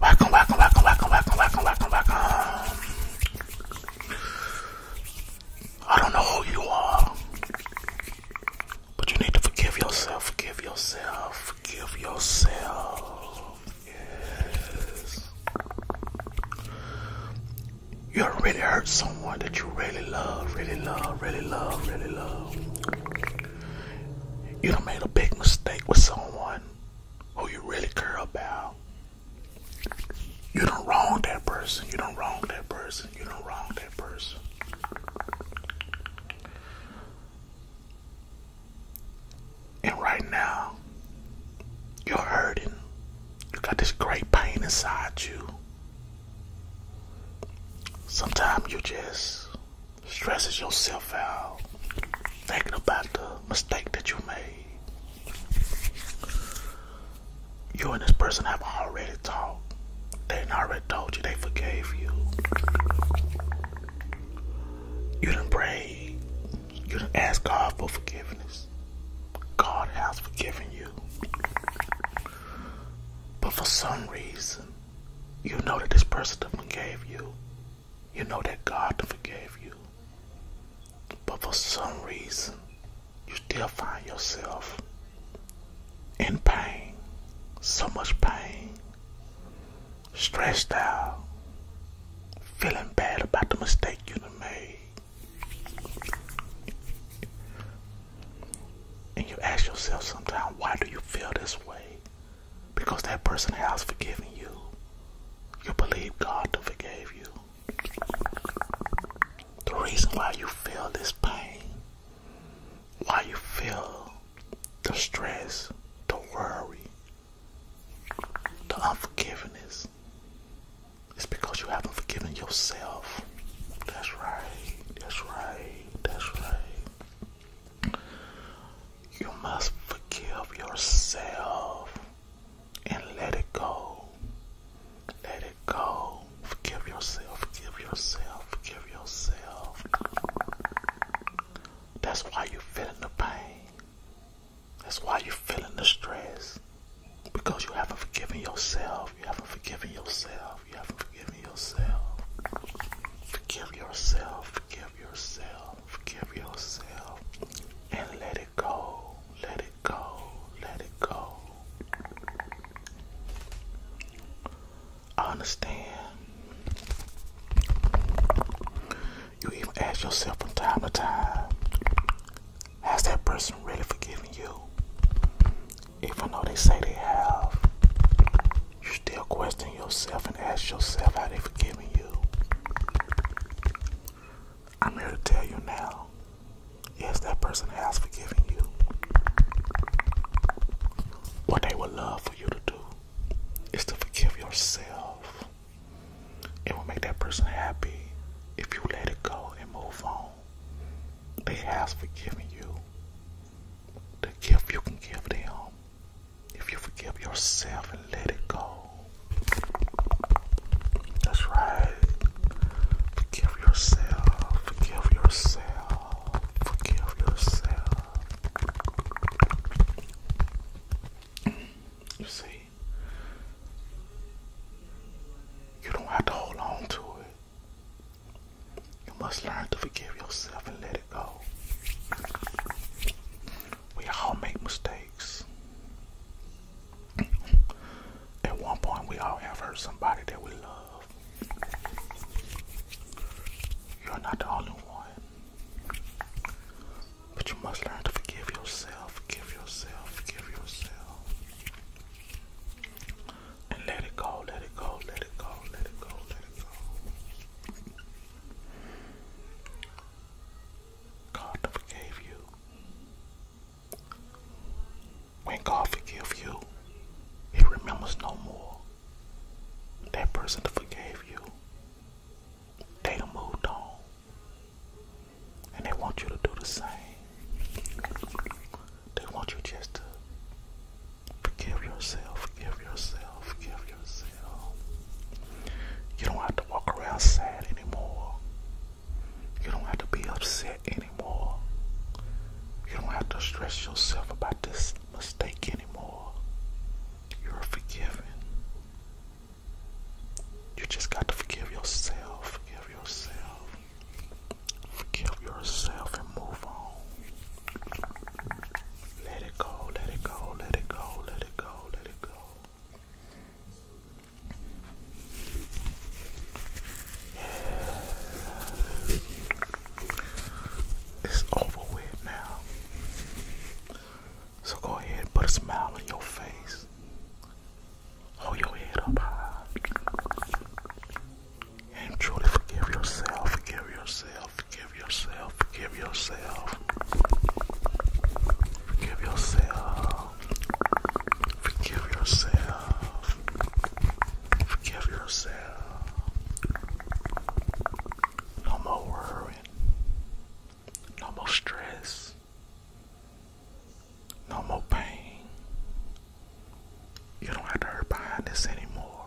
Welcome, welcome, welcome, welcome, welcome, welcome, welcome, welcome. I don't know who you are, but you need to forgive yourself, forgive yourself, forgive yourself. Yes. You already hurt someone that you really love, really love, really love, really love you done made a big mistake with someone who you really care about. You don't wrong that person. You don't wrong that person. You don't wrong that person. And right now, you're hurting. You got this great pain inside you. Sometimes you just stresses yourself out thinking about the mistake that you made. You and this person have already talked. They already told you they forgave you. You didn't pray. You didn't ask God for forgiveness. God has forgiven you. But for some reason, you know that this person forgave you. You know that God forgave you. But for some reason, you still find yourself in pain. So much pain. Stressed out. Feeling bad about the mistake you done made. And you ask yourself sometimes, why do you feel this way? Because that person has forgiven you. You believe God to forgive you. The reason why you feel this pain, why you feel the stress, the worry, the unforgiveness, is because you haven't forgiven yourself. That's right, that's right, that's right. You must forgive yourself and let it go. Let it go. Forgive yourself. Forgive yourself. Forgive yourself. That's why you're feeling the pain. That's why you're feeling the stress. Because you haven't forgiven yourself. You haven't forgiven yourself. You haven't forgiven yourself. Forgive yourself. Forgive yourself. Forgive yourself. And let it go. Let it go. Let it go. I understand. You even ask yourself from time to time, has that person really forgiven you? even though they say they have, you still question yourself and ask yourself how they forgiving you. I'm here to tell you now, yes, that person has forgiven you. What they would love for you to do is to forgive yourself. It will make that person happy if you let it go and move on. They have forgiven you the gift you can give them if you forgive yourself and let it go. That's right. Forgive yourself. Forgive yourself. Forgive yourself. You see, you don't have to hold on to it. You must learn to forgive yourself and let it go. We all make mistakes. At one point, we all have hurt somebody that we love. You're not the only one. But you must learn to forgive yourself, forgive yourself, forgive yourself. And let it go, let it go, let it go, let it go, let it go. God forgave you. When God forgives you, He remembers no more. That person that forgave you, they done moved on. And they want you to do the same. They want you just to forgive yourself, forgive yourself, forgive yourself. You don't have to walk around sad anymore. You don't have to be upset anymore. You don't have to stress yourself about this mistake anymore. You're forgiven. You just got to forgive yourself, forgive yourself. Kill yourself and move on. Let it go, let it go, let it go, let it go, let it go. It's over with now. So go ahead and put a smile on your face. Hold your head up high and truly forgive yourself, forgive yourself, forgive yourself, forgive yourself, forgive yourself, forgive yourself, forgive yourself. No more worrying, no more stress, no more pain, you don't have to hurt behind this anymore.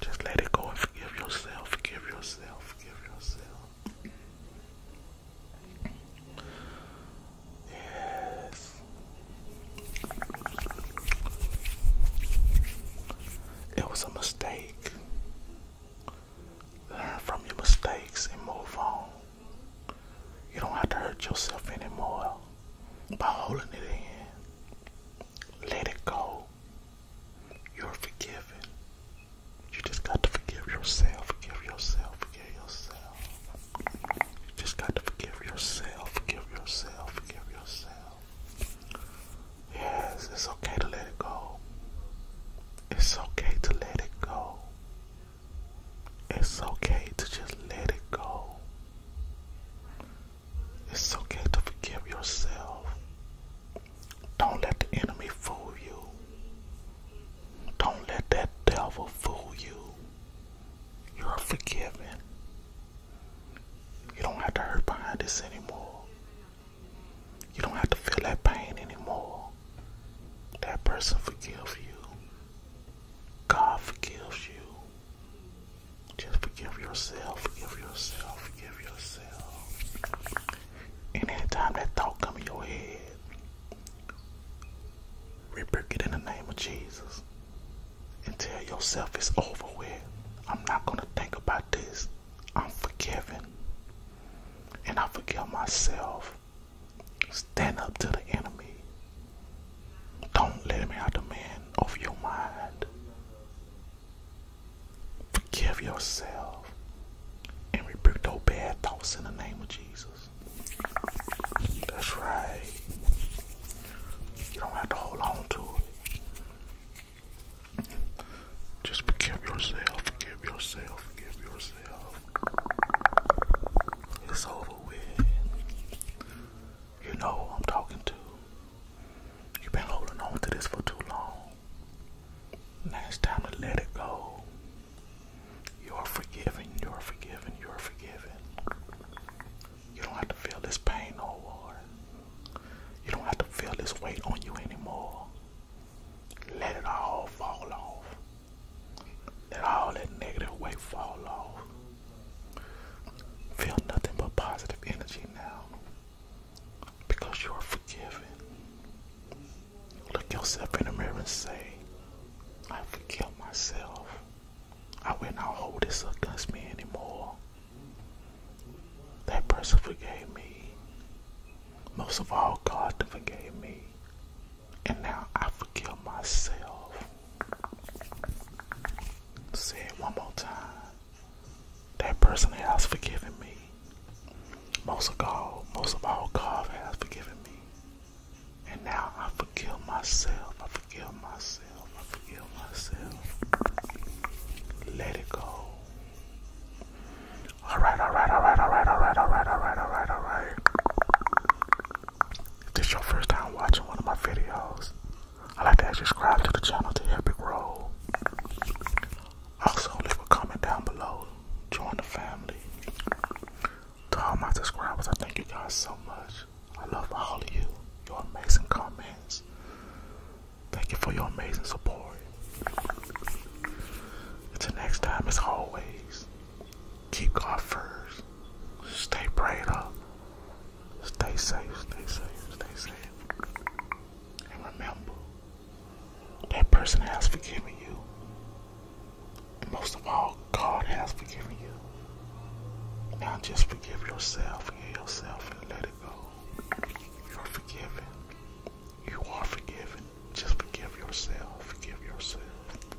Just let it go and forgive yourself, forgive yourself, forgive yourself. Yes. It was a mistake. Learn from your mistakes and move on. You don't have to hurt yourself anymore by holding it in. Let it go. You're forgiven. You just got to forgive yourself. Forgive yourself. Forgive yourself. You just got to forgive yourself. Forgive yourself. Forgive yourself. Yes, it's okay to let it go. It's okay to let it go. It's okay to just let it go. It's okay to forgive yourself. Don't let the enemy fool you. Don't let that devil fool you. You're forgiven. You don't have to hurt behind this anymore. You don't have to feel that pain anymore. That person forgives you. God forgives you. Just forgive yourself, forgive yourself, forgive yourself. And anytime that thought come in your head, repent it in the name of Jesus. And tell yourself it's over with. I'm not gonna think about this. I'm forgiven. And I forgive myself. Stand up to the enemy. Don't let him have the man over your mind. Forgive yourself and rebuke those bad thoughts in the name of Jesus. That's right. You don't have to hold on to it. Just forgive yourself, forgive yourself, forgive yourself. It's over with. You know who I'm talking to. You've been holding on to this for too long. Now it's time to let it go. You're forgiven, you're forgiven, you're forgiven. You don't have to feel this pain no more. You don't have to feel this weight on you anymore. Let it all fall off. Let all that negative weight fall off. Feel nothing but positive energy now. Because you are forgiven. Look yourself in the mirror and say, I forgive myself. I will not hold this against me anymore. That person forgave me. Most of all, God forgave me. And now I forgive myself. Say it one more time. That person has forgiven me. Most of all, most of all, God has forgiven me. And now I forgive myself. I forgive myself. I forgive myself. Let it go. Alright, alright, alright, alright, alright, alright, alright, alright, alright. If this is your first time watching one of my videos, I'd like to ask you to subscribe to the channel to help it grow. Also, leave a comment down below. Join the family. To all my subscribers, I thank you guys so much. I love all of you. Your amazing comments. Thank you for your amazing support. Until next time, as always, keep God first. Stay prayed up. Stay safe, stay safe, stay safe. And remember, that person has forgiven you. most of all, God has forgiven you. Now just forgive yourself, forgive yourself, and let it go. You're forgiven. You are forgiven. Just forgive yourself, forgive yourself.